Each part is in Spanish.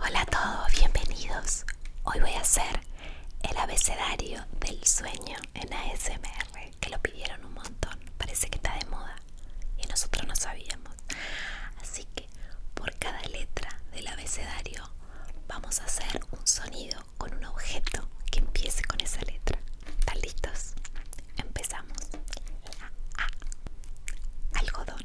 Hola a todos, bienvenidos. Hoy voy a hacer el abecedario del sueño en ASMR que lo pidieron un montón. Parece que está de moda y nosotros no sabíamos. Así que por cada letra del abecedario vamos a hacer un sonido con un objeto que empiece con esa letra. ¿Están listos? Empezamos. La A. Algodón.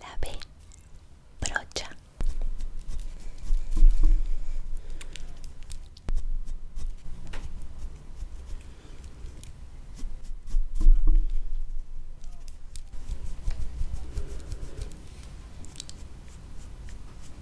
La B, brocha.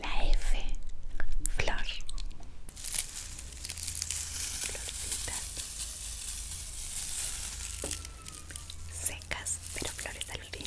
La F, flor. Florcitas. Secas, pero flores al fin.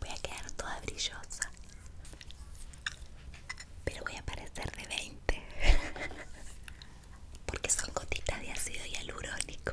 Voy a quedar toda brillosa. Pero voy a parecer de 20. Porque son gotitas de ácido hialurónico.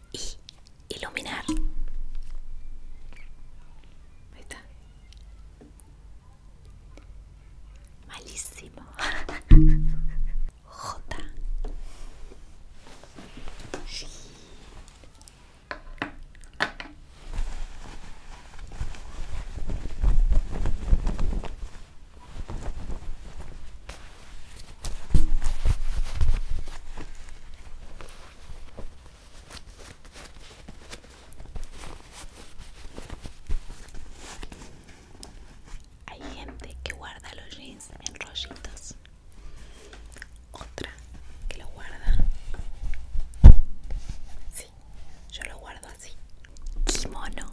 y iluminar. Malísimo. J. Hay gente que guarda los jeans en rollitos, otra que lo guarda. Sí, yo lo guardo así. Kimono.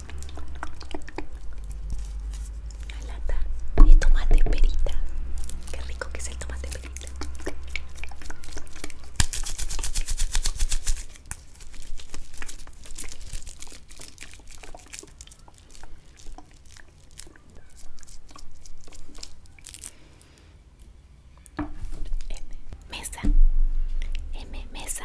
Una lata de tomate perita. Qué rico que es el tomate perita. mesa, M mesa,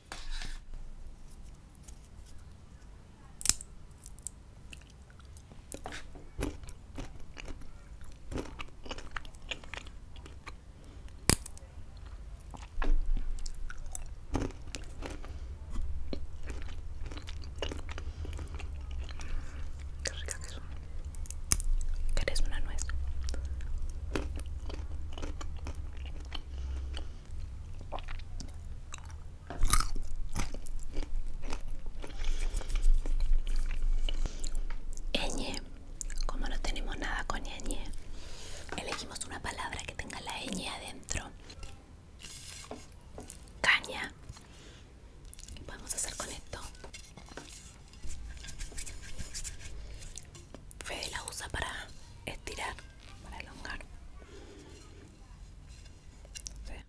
Qué rica que son. ¿Querés una nuez? ñe, como no tenemos nada con elegimos una palabra que tenga la Ñ adentro. Caña. ¿Qué podemos hacer con esto? Fede la usa para estirar para elongar. Sí.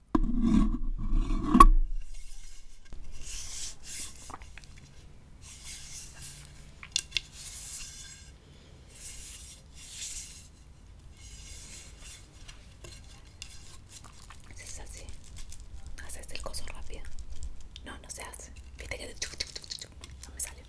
Si es así, haces el coso rápido. No, no se hace. Viste que no me sale.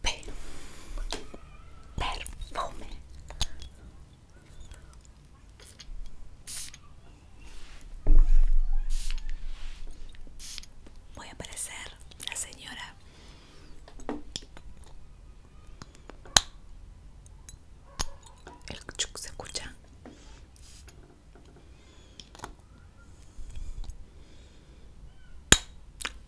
perfume voy a aparecer, la señora el chuc se escucha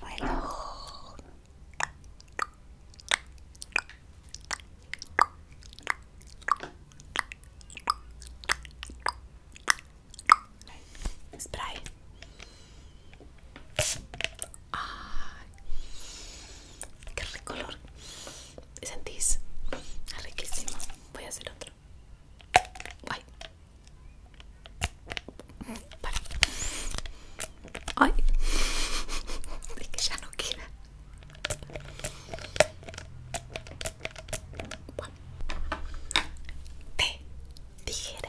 Bueno. Spray. Ay, qué rico olor. ¿Sentís? Es riquísimo. Voy a hacer otro. Ay. Para. Ay. Es que ya no queda. te dijera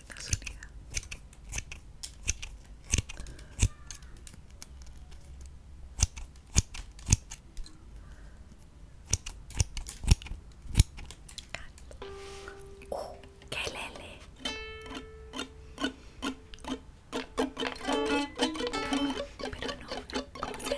Naciones Unidas. Uh, ¡Qué lele! Pero no, hace?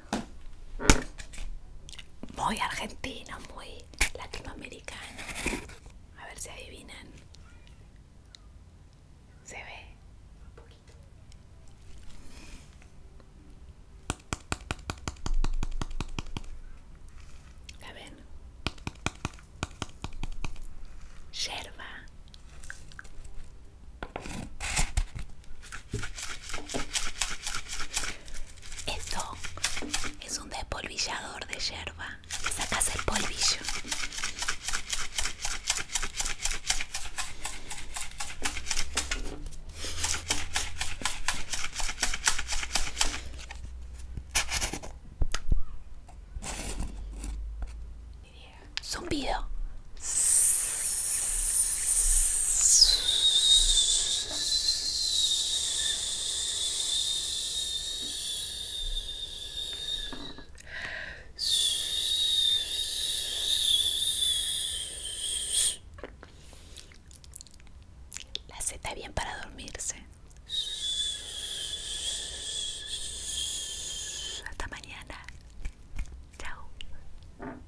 Muy argentino, muy latinoamericano. A ver si adivinan. Se ve un poquito. Yerba. Esto es un despolvillador de yerba. que sacas el polvillo. Zumbido. La seta bien para dormirse. Hasta mañana. Chao.